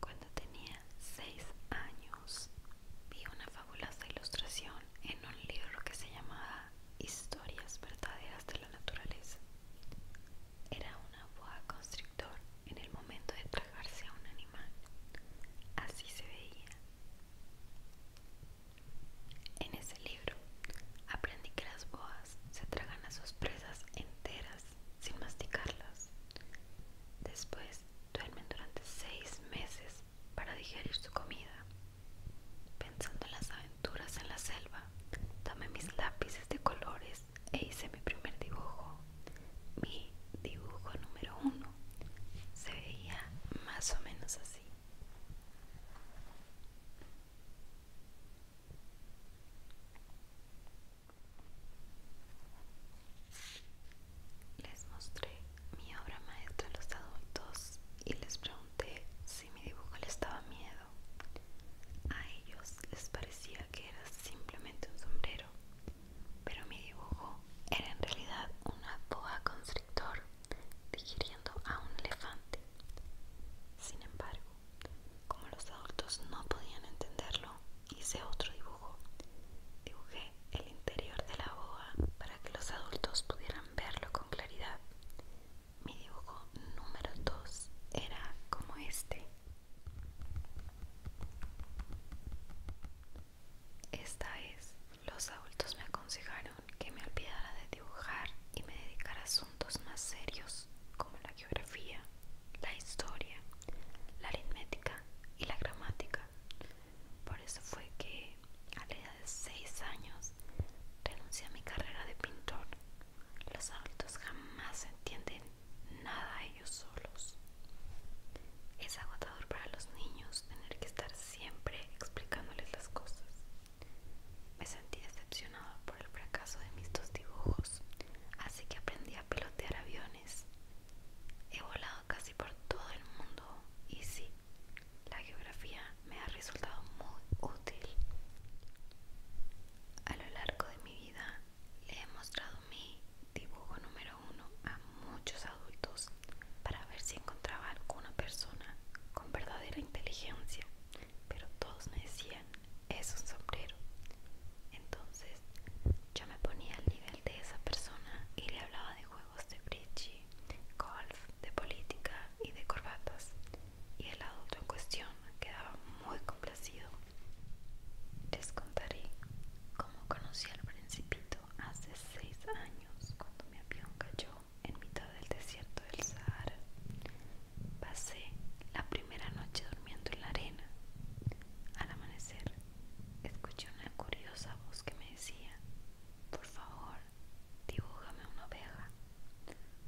Cuando tenía seis años, vi una fabulosa ilustración en un libro que se llamaba Historias verdaderas de la naturaleza. Era una boa constrictor en el momento de tragarse a un animal. Así se veía. En ese libro aprendí que las boas se tragan a sus presas enteras sin masticarlas. Después duermen durante seis meses para digerir su comida. Pensando en las aventuras en la selva, tomé mis lápices de colores e hice mi primer dibujo mi dibujo número uno se veía más o menos así les mostré mi obra maestra a los adultos y les pregunté si mi dibujo les daba miedo. A ellos les parecía que era simplemente un sombrero pero mi dibujo era en realidad una boa constrictor digiriendo a un elefante. Sin embargo, como los adultos no podían entenderlo, hice otro dibujo. Dibujé el interior de la boa para que los adultos pudieran verlo con claridad. Mi dibujo número 2 era como este. Esta es, los adultos me aconsejaron que me olvidara de dibujar y me dedicara a asuntos más serios como la geografía, la historia, la aritmética y la gramática. Por eso fue que a la edad de 6 años renuncié a mi carrera de pintor. Los adultos jamás entienden nada ellos solos. Es agotador para los niños tener que estar siempre explicándoles las cosas. Me sentí decepcionado por el fracaso de mis dos dibujos, así que aprendí a pilotear aviones. He volado casi por todo el mundo y sí, la geografía me ha resultado muy útil. A lo largo de mi vida le he mostrado mi dibujo número uno a muchos adultos para ver si encontraba alguna persona con verdadera inteligencia, pero todos me decían, es un sombrero. Entonces yo me ponía al nivel de esa persona y le hablaba de juegos de bridge, golf, de política y de corbatas. Y el adulto en cuestión quedaba muy complacido les contaré cómo conocí al principito hace seis años cuando mi avión cayó en mitad del desierto del Sahara. Pasé la primera noche durmiendo en la arena. Al amanecer, escuché una curiosa voz que me decía, por favor, dibújame una oveja.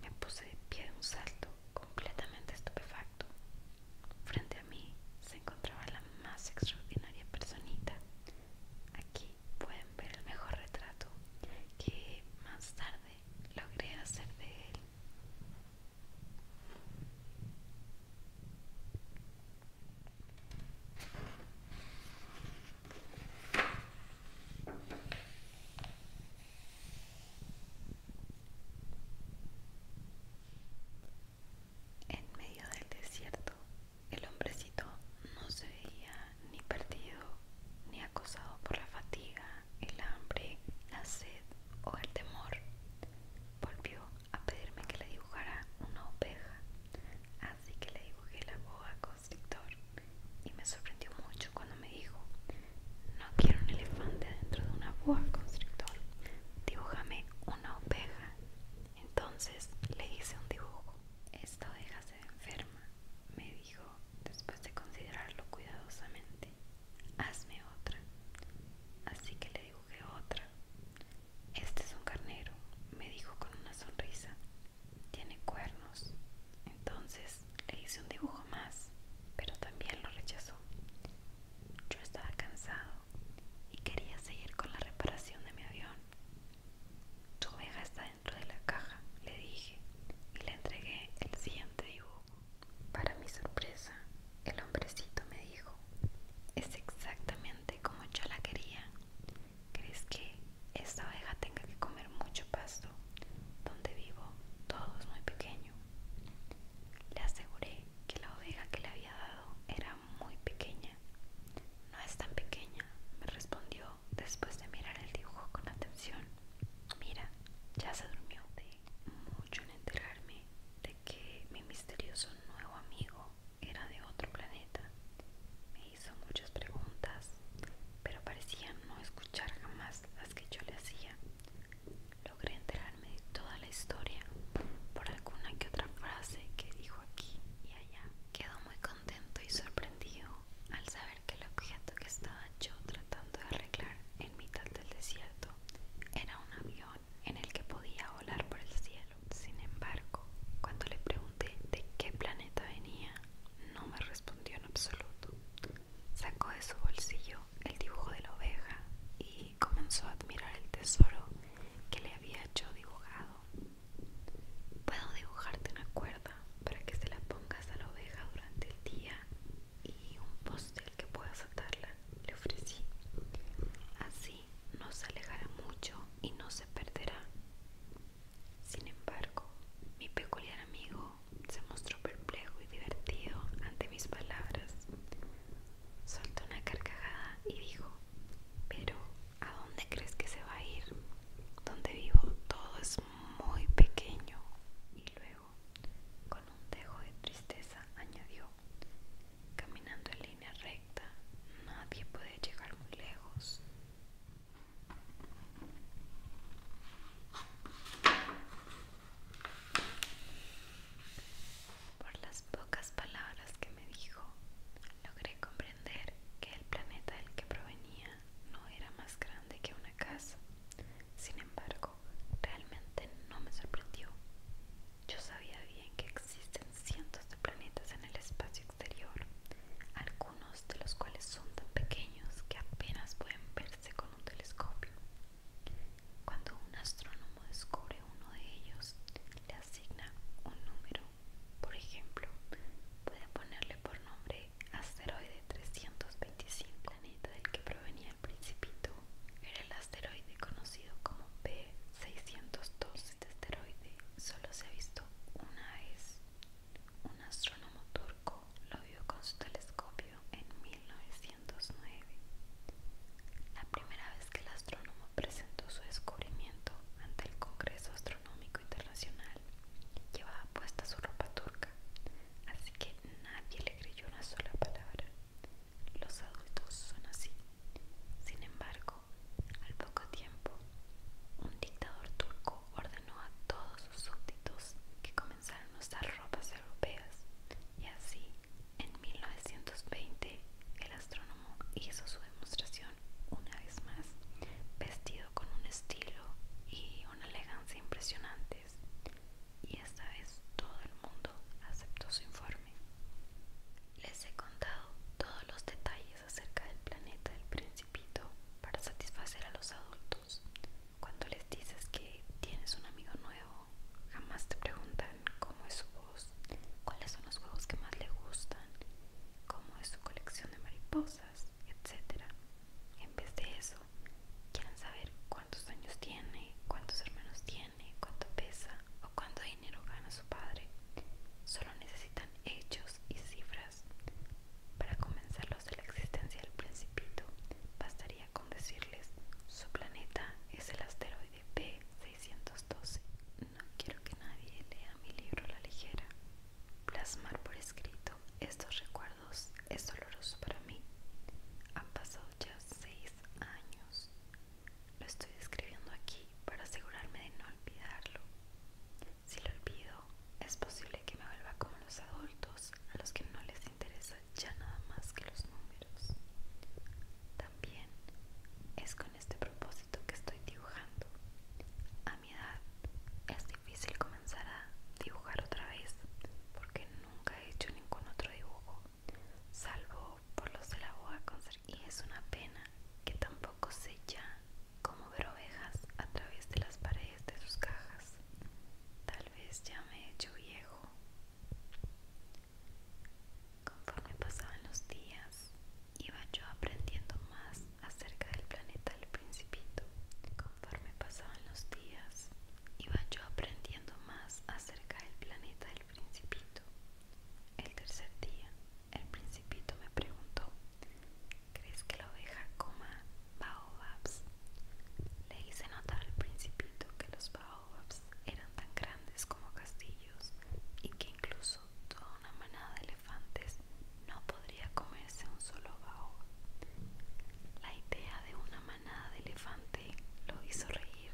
Me puse de pie de un salto, completamente estupefacto. Frente a mí se encontraba la más extraordinaria personita. Aquí pueden ver el mejor retrato que más tarde logré hacer de él. En medio del desierto, el hombrecito no se veía ni perdido ni acosado por la fatiga, el hambre, la sed o el temor. Volvió a pedirme que le dibujara una oveja, así que le dibujé la boa constrictor y me sorprendió mucho cuando me dijo, no quiero un elefante dentro de una boa constrictor, dibújame una oveja. Entonces le hice un dibujo. Esta oveja se enferma, me dijo después de considerarlo cuidadosamente. Hazme otra. Así que le dibujé otra. Este es un carnero, me dijo con una sonrisa. Tiene cuernos. Entonces le hice un dibujo más, pero también lo rechazó. Yo estaba cansado y quería seguir con la reparación de mi avión. Tu oveja está dentro de la caja, le dije, y le entregué el siguiente dibujo. Para mi sorpresa, el hombrecito me dijo, es exactamente como yo la quería. ¿Crees que esta oveja tenga que comer mucho pasto? Donde vivo todo es muy pequeño. Le aseguré que la oveja que le había dado era muy pequeña. No es tan pequeña, me respondió después de mirar el dibujo con atención. Mira, ya se durmió. de Mucho en enterarme de que mi misterioso nuevo amigo era de otro planeta. Me hizo muchas preguntas, pero parecía no escuchar jamás las que yo le hacía logré enterarme de toda la historia por alguna que otra frase que dijo aquí y allá. Quedó muy contento y sorprendido al saber que el objeto que estaba yo tratando de arreglar en mitad del desierto era un avión en el que podía volar por el cielo. Sin embargo, cuando le pregunté de qué planeta venía, no me respondió en absoluto. Sacó de su bolsillo el dibujo de la oveja y comenzó a admirar el tesoro que le había hecho dibujado. Puedo dibujarte una cuerda para que se la pongas a la oveja durante el día y un postel que puedas atarla, le ofrecí. Así no se alejará mucho y no se perderá. Sin embargo, mi peculiar amigo se mostró perplejo y divertido ante mis palabras. Soltó una carcajada y dijo, pero ¿a dónde crees que se va a ir? Donde vivo todo es muy pequeño. Y luego, con un dejo de tristeza, añadió, caminando en línea recta, nadie puede llegar muy lejos. Por las pocas palabras que me dijo, logré comprender que el planeta del que provenía no era más grande que una casa. Sin embargo, realmente no me sorprendió. Yo sabía bien que existen cientos de planetas en el espacio exterior, algunos de los cuales son tan pequeños que apenas pueden verse con un telescopio. Cuando un astrónomo descubre uno de ellos, le asigna un número. Por ejemplo, puede ponerle por nombre asteroide 325. planeta del que provenía el principito era el asteroide conocido como P602. Este asteroide solo se ha visto una vez. Un astrónomo turco lo vio con su telescopio en 1900. La primera vez que el astrónomo presentó su descubrimiento ante el Congreso Astronómico Internacional, llevaba puesta su ropa turca, así que nadie le creyó una sola palabra. Los adultos son así. Sin embargo, al poco tiempo, un dictador turco ordenó a todos sus súbditos que comenzaran a usar ropas europeas y así en 1920 el astrónomo hizo su demostración una vez más, vestido con un estilo y una elegancia impresionantes, y esta vez todo el mundo aceptó su informe. Les he contado todos los detalles acerca del planeta del principito para satisfacer a los adultos. Cuando les dices que tienes un amigo nuevo, jamás te preguntan cómo es su voz, cuáles son los juegos que más le gustan, cómo es su colección de mariposas, etc. En vez de eso, quieren saber cuántos años tiene, cuántos hermanos tiene, cuánto pesa o cuánto dinero gana su padre. Solo necesitan hechos y cifras. Para convencerlos de la existencia del principito, bastaría con decirles, su planeta es el asteroide P612. No quiero que nadie lea mi libro a la ligera. Plasmar por escrito estos recuerdos es doloroso para mí. Han pasado ya seis años. Lo estoy escribiendo aquí para asegurarme de no olvidarlo. Si lo olvido, es posible que me vuelva como los adultos a los que no les interesa ya nada más que los números. También es con este propósito que estoy dibujando. A mi edad es difícil comenzar a dibujar otra vez porque nunca he hecho ningún otro dibujo, salvo por los de la boa Y es una pena que tampoco sé ya cómo ver ovejas a través de las paredes de sus cajas. Tal vez ya me he hecho viejo Conforme pasaban los días, iba yo aprendiendo más acerca del planeta del principito. Conforme pasaban los días, iba yo aprendiendo más acerca del planeta del principito. El tercer día, el principito me preguntó, ¿crees que la oveja coma baobabs? Le hice notar al principito que los baobabs eran tan grandes como castillos y que incluso toda una manada de elefantes no podría comerse un solo bao. La idea de una manada de elefante lo hizo reír.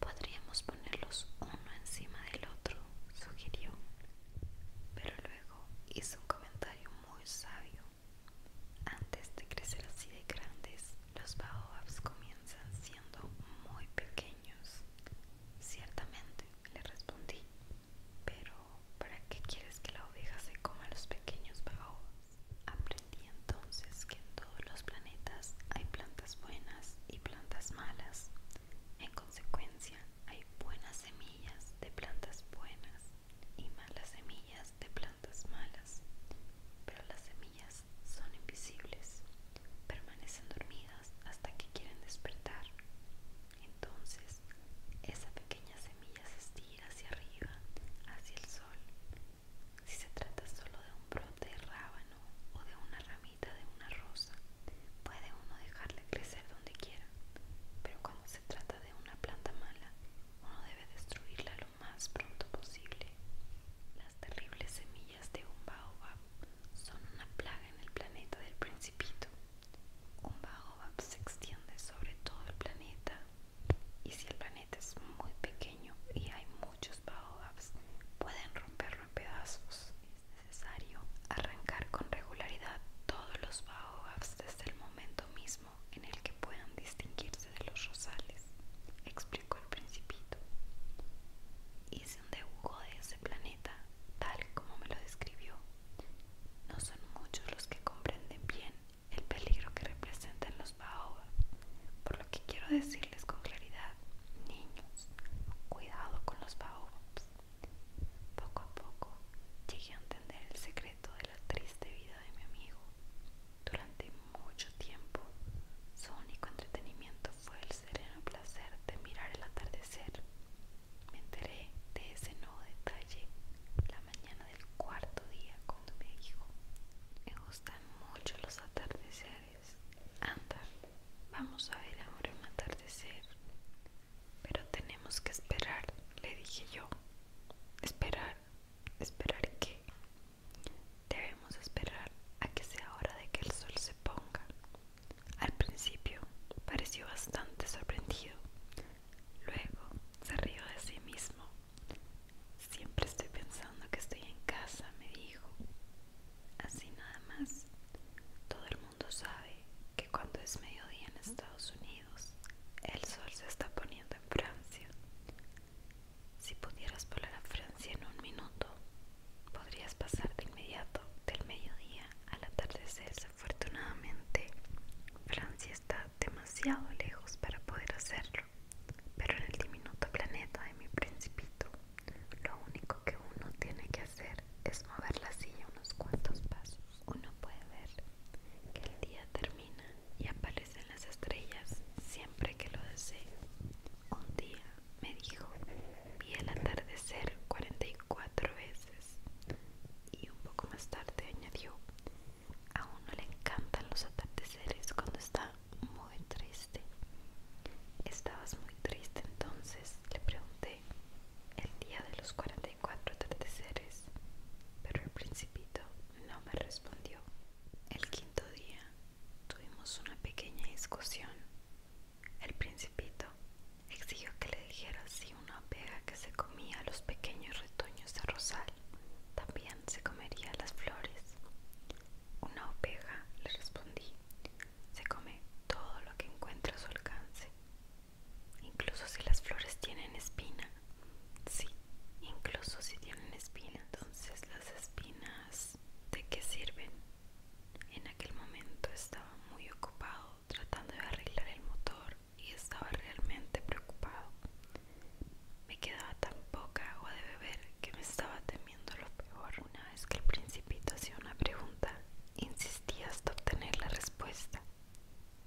Podríamos ponerlos uno encima del otro, sugirió, pero luego hizo un comentario muy sabio. Antes de crecer así de grandes, los baobabs comienzan siendo muy pequeños. Ciertamente, le respondí. Pero, ¿para qué quieres que la oveja se coma los pequeños baobabs? Aprendí entonces que en todos los planetas hay plantas buenas y plantas malas. En consecuencia, hay buenas semillas de plantas buenas y malas semillas de plantas malas, pero las semillas son invisibles, permanecen dormidas hasta que quieren despertar. Entonces, esa pequeña semilla se estira hacia arriba, hacia el sol. Si se trata solo de un brote de rábano o de una ramita de una rosa, puede uno dejarle crecer donde quiera, pero cuando se trata de una planta mala, uno destruirla lo más pronto posible. Las terribles semillas de un baobab son una plaga en el planeta del principito. Un baobab se extiende sobre todo el planeta y si el planeta es muy pequeño y hay muchos baobabs, pueden romperlo en pedazos. Es necesario arrancar con regularidad todos los baobabs desde el momento mismo en el que puedan distinguirse de los rosales, explicó el principito. Hice un dibujo de ese planeta tal como me lo describió. No son muchos los que comprenden bien el peligro que representan los baobabs por lo que quiero decirles con claridad, niños, cuidado con los baobabs. Poco a poco llegué a entender el secreto de la triste vida de mi amigo. Durante mucho tiempo, su único entretenimiento fue el sereno placer de mirar el atardecer. Me enteré de ese nuevo detalle la mañana del cuarto día cuando me dijo, me gustan mucho los atardeceres. Anda, vamos a ver ahora un atardecer. Pero tenemos que esperar, le dije yo. Esperar, esperar que debemos esperar a que sea hora de que el sol se ponga. Al principio pareció bastante sorprendido, luego se rió de sí mismo. Siempre estoy pensando que estoy en casa, me dijo. Así nada más. Todo el mundo sabe que cuando es mediodía en Estados Unidos, el sol se está poniendo en Francia. Si pudieras volar a Francia en un minuto, podrías pasar de inmediato del mediodía al atardecer. Desafortunadamente, Francia está demasiado lejos para poder hacerlo, pero en el diminuto planeta de mi principito, lo único que uno tiene que hacer es mover la silla unos cuantos pasos. Uno puede ver que el día termina y aparece en las estrellas siempre que lo desee. Un día me dijo, vi el atardecer 44 veces. Y un poco más tarde añadió, a uno le encantan los atardeceres cuando está muy triste. ¿Estabas muy triste entonces? Le pregunté. El día de los 44 atardeceres. Pero al principio principito no me respondió. El quinto día tuvimos una pequeña discusión. El principito exigió que le dijera si una oveja que se comía los pequeños retoños de rosal también se comería las flores. Una oveja, le respondí, se come todo lo que encuentra a su alcance, incluso si las flores tienen espina. Sí, incluso si tienen espina. Entonces las espinas, ¿de qué sirven? En aquel momento estaba muy ocupado tratando de arreglar el motor y estaba realmente preocupado. Me quedaba tan poca agua de beber que me estaba temiendo lo peor. Una vez que el principito hacía una pregunta, insistía hasta obtener la respuesta.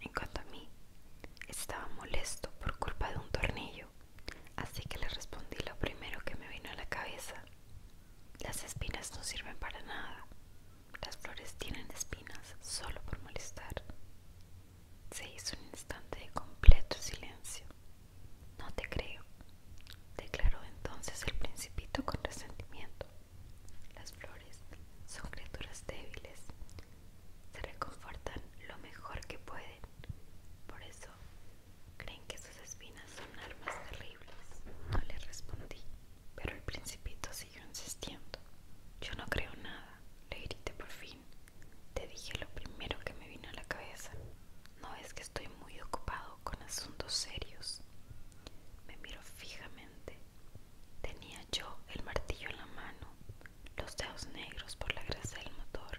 En cuanto a mí, estaba molesto por culpa de un tornillo, así que le respondí lo primero que me vino a la cabeza. Las espinas no sirven para nada. Las flores tienen espinas solo por molestar. Se hizo un instante de completo silencio. No te creo, declaró entonces el principito con resentimiento. Las flores son criaturas débiles, se reconfortan lo mejor que pueden. Por eso creen que sus espinas son armas terribles. No le respondí, pero el principito siguió insistiendo. Yo no creo nada, le grité por fin. Te dije lo primero que me vino a la cabeza. No es que estoy muy ocupado con asuntos serios. Me miró fijamente Tenía yo el martillo en la mano, los dedos negros por la grasa del motor,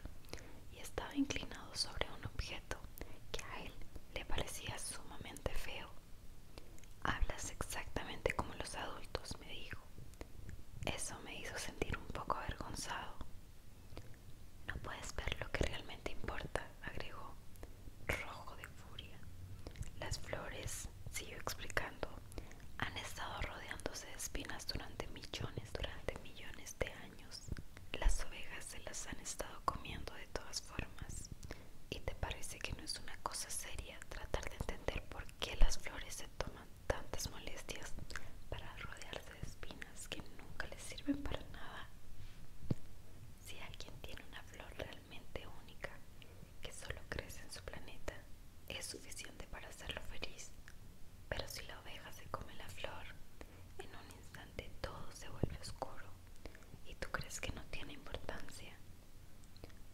y estaba inclinado sobre un objeto que a él le parecía sumamente feo. Hablas exactamente como los adultos, me dijo. Eso me hizo sentir un poco avergonzado. No puedes ver lo que realmente importa, agregó, rojo de furia. Las flores, siguió explicando, han estado rodeándose de espinas durante millones, durante millones de años. Las ovejas se las han estado comiendo de todas formas. ¿Y te parece que no es una cosa seria tratar de entender por qué las flores se toman tantas molestias para rodearse de espinas que nunca les sirven para nada? Si alguien tiene una flor realmente única, que solo crece en su planeta es suficiente para hacerlo feliz. Pero si la oveja se come la flor, en un instante todo se vuelve oscuro y tú crees que no tiene importancia.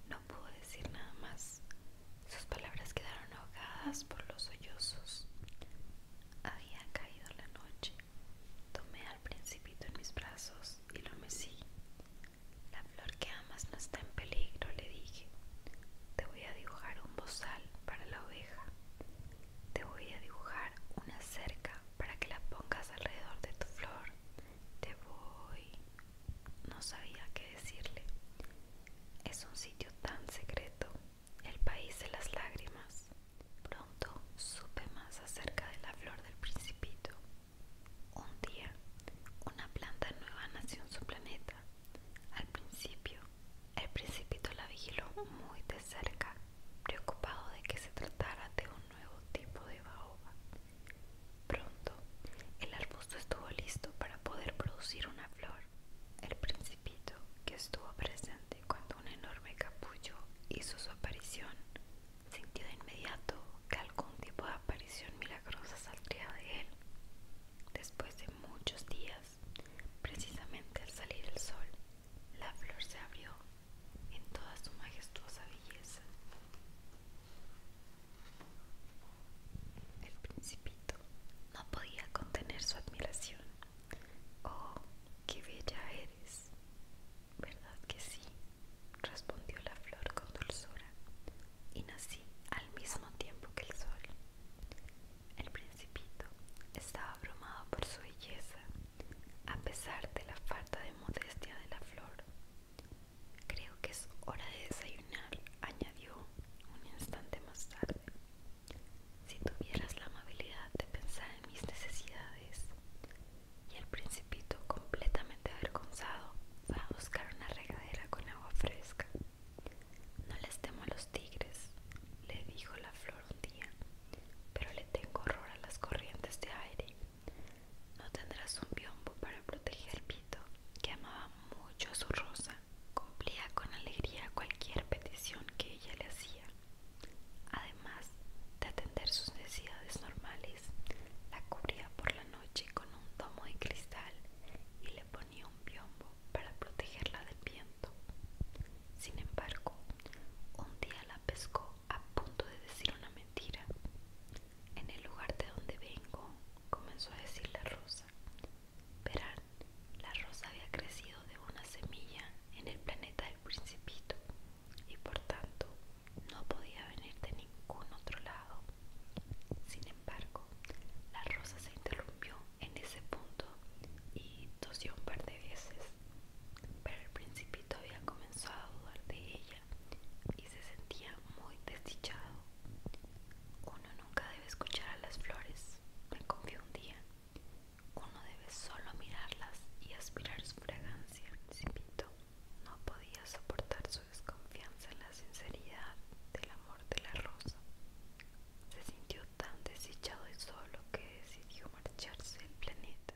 No pudo decir nada más. Sus palabras quedaron ahogadas por los sollozos. Había caído la noche. Tomé al principito en mis brazos y lo mecí. La flor que amas no está en peligro, le dije. Te voy a dibujar un bozal para la oveja. Te voy a dibujar una cerca para que la pongas alrededor de tu flor. Te voy... No sabía qué decirle. Es un sitio tan secreto, el país de las lágrimas. Pronto supe más acerca de la flor del principito un día, una planta nueva nació en su planeta. Al principio, el principito la vigiló muy de cerca, preocupado de que se tratara de un nuevo tipo de baoba. Pronto, el arbusto estuvo listo para poder producir una flor. El principito, que estuvo presente cuando un enorme capullo hizo su aparición, sintió de inmediato que algún tipo de aparición milagrosa saldría de él. Después de muchos días, precisamente al salir el sol, la flor se abrió en toda su majestuosa belleza. El principito no podía contener su admiración. Oh, qué bella eres. ¿Verdad que sí? respondió la flor con dulzura y nací al mismo tiempo que el sol. El principito estaba abrumado por su belleza, a pesar de la falta de modestia de la flor. Creo que es hora de desayunar, añadió un instante más tarde. Si tuvieras la amabilidad de pensar en mis necesidades. Y el principito completamente avergonzado, va a buscar una regadera con agua fresca. No les temo a los tigres, le dijo la flor un día, pero le tengo horror a las corrientes de aire. No tendrás un biombo para proteger pito, que amaba mucho a su rosa. Cumplía con alegría cualquier petición que ella le hacía. Además de atender sus necesidades normales, la cubría por la noche con un tomo de cristal y le ponía un biombo para protegerla del viento. Sin embargo, un día la pescó a punto de decir una mentira. En el lugar de donde vengo, comenzó a decir la rosa. Verán, la rosa había crecido de una semilla en el planeta del principito y por tanto no podía venir de ningún otro lado. Sin embargo, la rosa se interrumpió en ese punto y tosió un par de veces, pero el principito había comenzado a dudar de ella y se sentía muy desdichado. Uno nunca debe escuchar a las flores, me confió un día. Uno debe solo mirarlas y aspirar su fragancia, principito. No podía soportar su desconfianza en la sinceridad del amor de la rosa. Se sintió tan desechado y solo que decidió marcharse del planeta.